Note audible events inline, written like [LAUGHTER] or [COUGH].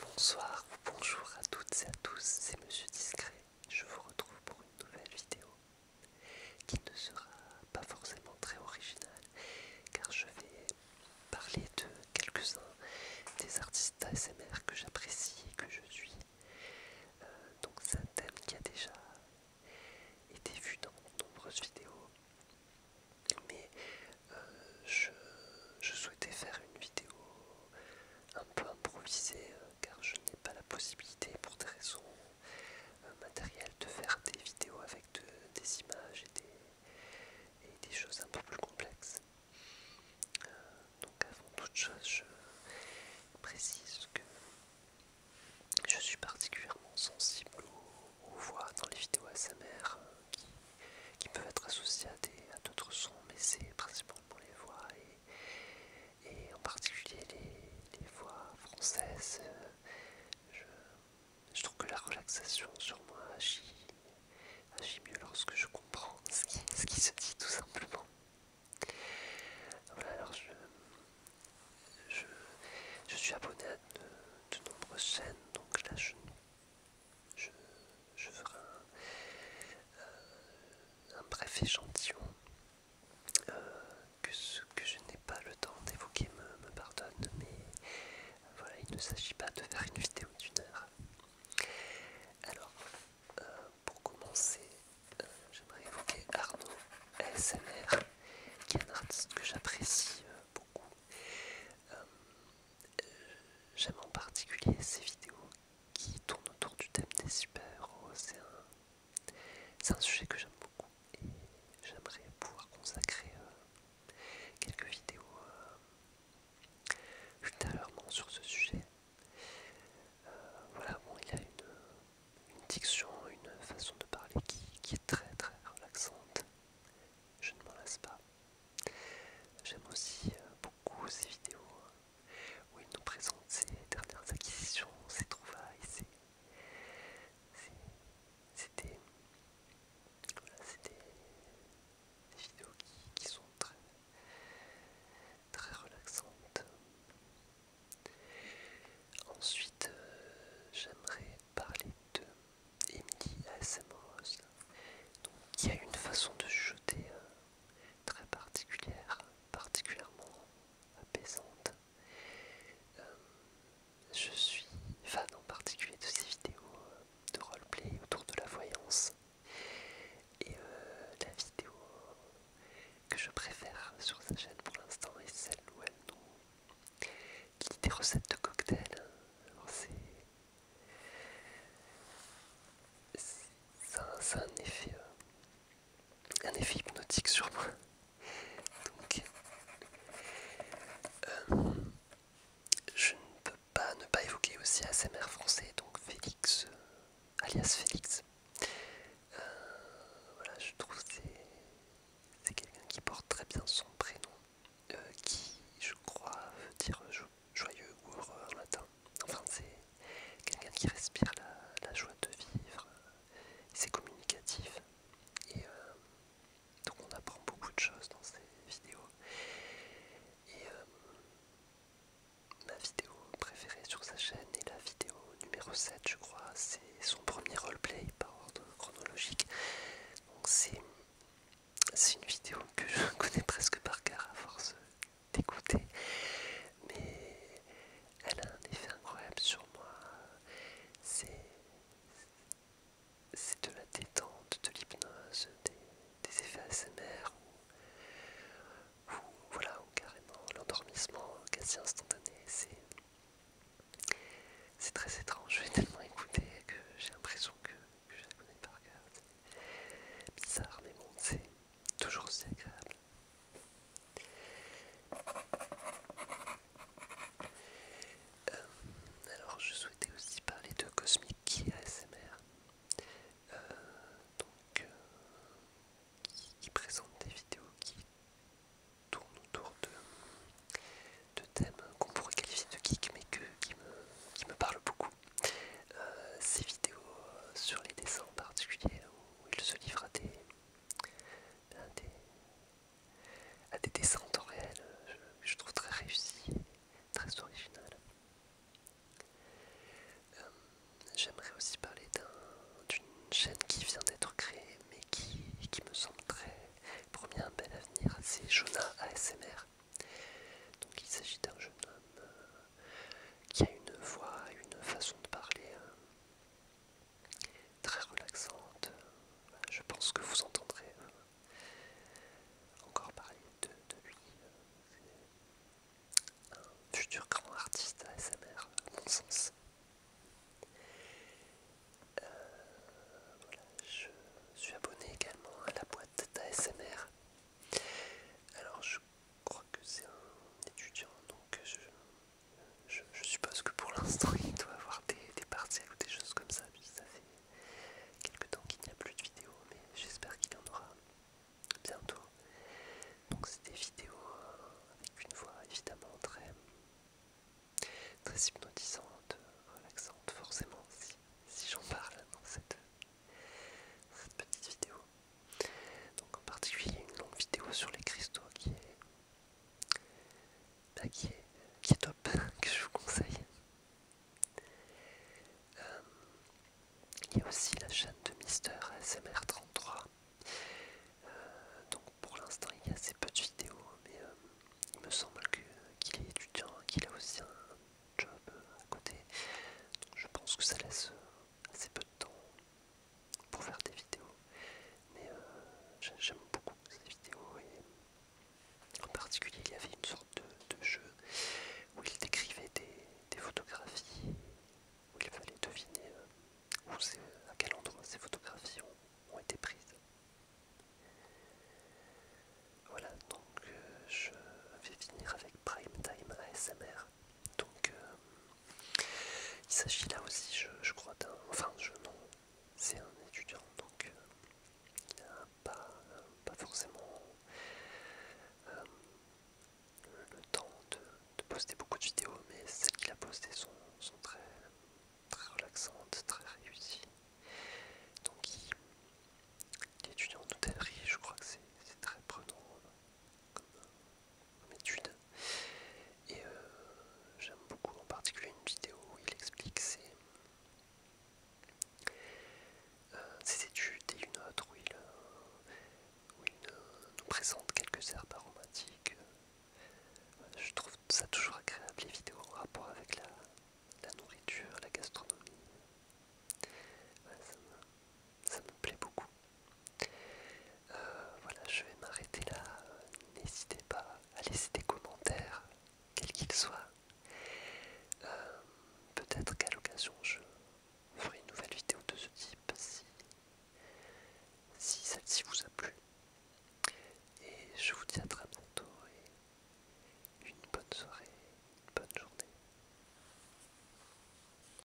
Bonsoir ou bonjour à toutes et à tous, c'est Monsieur Discret. Je vous retrouve pour une nouvelle vidéo qui ne sera pas forcément très originale car je vais parler de quelques-uns des artistes ASMR que j'apprécie et que je suis. Euh, donc c'est un thème qui a déjà été vu dans de nombreuses vidéos mais euh, je, souhaitais faire une vidéo un peu improvisée euh, car je n'ai pas la possibilité pour des raisons euh, matérielles de faire des vidéos avec des images et des, choses un peu plus complexes. donc avant toute chose, je précise que je suis particulièrement sensible au aux voix dans les vidéos ASMR euh, qui, qui peuvent être associées à d'autres sons, mais c'est principalement les voix et, en particulier les, voix françaises. Euh, je, trouve que la relaxation sur moi agit, mieux lorsque je comprends ce qui, ce qui se dit tout simplement. Voilà, alors je, je, suis abonné à de, nombreuses chaînes, donc là je, je, ferai euh, un, bref échantillon euh, que ce que je n'ai pas le temps d'évoquer me, pardonne, mais voilà, il ne s'agit pas de faire une vidéo d'une heure. Alors, euh, pour commencer, j'aimerais évoquer Arnaud ASMR, qui est un artiste que j'apprécie euh, beaucoup. Euh, euh, j'aime en particulier ces vidéos qui tournent autour du thème des super-héros. C'est un, sujet que j'aime beaucoup et j'aimerais pouvoir consacrer quelques vidéos ultérieurement sur ce sujet. voilà, bon, il a une une diction, une façon de parler qui, est très très relaxante. Je ne m'en lasse pas. J'aime aussi euh, beaucoup ces vidéos hein, où il nous présente ses dernières acquisitions, ses trouvailles, C'était des, des vidéos qui sont très, très relaxantes. Ensuite, euh, j'aimerais parler de Emily ASMROS, donc qui a une façon de jeter euh, très particulière, particulièrement apaisante. Euh, je suis fan en particulier de ses vidéos de roleplay autour de la voyance. Et la vidéo que je préfère sur sa chaîne pour l'instant et celle où elle nous dit des recettes de cocktails. Ça a un effet, euh, un effet hypnotique sur moi. Donc, euh, je ne peux pas ne pas évoquer aussi ASMR français, donc Félix, euh, alias Félix, euh, voilà, je trouve que c'est quelqu'un qui porte très bien son prénom, euh, qui, je crois, veut dire joyeux ou heureux en latin. Enfin, c'est quelqu'un qui respire la, joie de vivre, euh, c'est communicatif. Et donc, on apprend beaucoup de choses dans ces vidéos ma vidéo préférée sur sa chaîne est la vidéo numéro 7 je crois, c'est son premier roleplay par ordre chronologique. Donc c'est une vidéo que je [LAUGHS] connais presque par cœur à force d'écouter, mais elle a un effet incroyable sur moi. C'est de la détente, de l'hypnose, des, effets ASMR voilà, ou carrément l'endormissement quasi instantané. C'est très étrange, je vais tellement écouter que j'ai l'impression que, je la connais par cœur. Bizarre, mais bon, c'est toujours aussi agréable. Euh, alors, je souhaitais aussi parler de cosmique Key ASMR. Euh, donc, euh, qui, présente des vidéos qui tournent autour de, de thèmes qu'on pourrait qualifier de geek, mais que, qui, me, parlent beaucoup. Euh, ces vidéos sur les dessins en particulier, où il se livre à des, à des, dessins en temps réel, je, je trouve très réussi, très original. Euh, j'aimerais aussi parler d'une chaîne qui vient d'être créée mais qui, me semble très promis un bel avenir, c'est Jonah ASMR. Donc il s'agit d'un jeune homme euh, qui a une voix, une façon de parler euh, très relaxante. Je pense que vous entendrez encore parler de, lui. Euh, c'est un futur grand artiste ASMR, à mon sens. Euh, je suis abonné également à la boîte d'ASMR. Alors je crois que c'est un étudiant, donc je, suppose que pour l'instant [LAUGHS] il doit avoir des, des partiels ou des choses comme ça, quelque temps qu'il n'y a plus de vidéos, mais j'espère qu'il y en aura bientôt. Donc c'est des vidéos euh, avec une voix évidemment très, hypnotisante, relaxante, forcément si, si j'en parle dans cette, cette petite vidéo. Donc en particulier une longue vidéo sur les cristaux qui est bah, qui, est, qui est top, [LAUGHS] que je vous conseille. Euh, il y a aussi la chaîne de Mister SMR33. Euh, donc pour l'instant il y a assez peu de vidéos, mais euh, il me semble qu'il est étudiant, qu'il a aussi un job à côté. Donc je pense que ça laisse assez peu de temps pour faire des vidéos. Mais euh, j'aime beaucoup ces vidéos et en particulier il y avait une sorte de, jeu où il décrivait des, photographies, où il fallait deviner euh, à quel endroit ces photographies ont, été prises. Voilà, donc euh, je vais finir avec Prime Time ASMR. Donc il s'agit là aussi, je, je crois, d'un. Enfin, je, non, c'est un étudiant donc euh, il pas, euh, pas forcément euh, le temps de, poster beaucoup de vidéos mais celles qu'il a postées sont, très, relaxantes, très réussies. Donc l'étudiant d'hôtellerie, je crois que c'est très prenant comme étude. Et euh, j'aime beaucoup en particulier une vidéo où il explique ses, euh, études et une autre où il, euh, nous présente quelques herbes aromatiques. Je trouve ça toujours agréable les vidéos en rapport avec la, nourriture, la gastronomie ça me plaît beaucoup. Euh, voilà, je vais m'arrêter là. N'hésitez pas à laisser des commentaires, quels qu'ils soient. Euh, peut-être qu'à l'occasion, je ferai une nouvelle vidéo de ce type si, si celle-ci vous a plu. Et je vous dis à très bientôt et une bonne soirée, une bonne journée.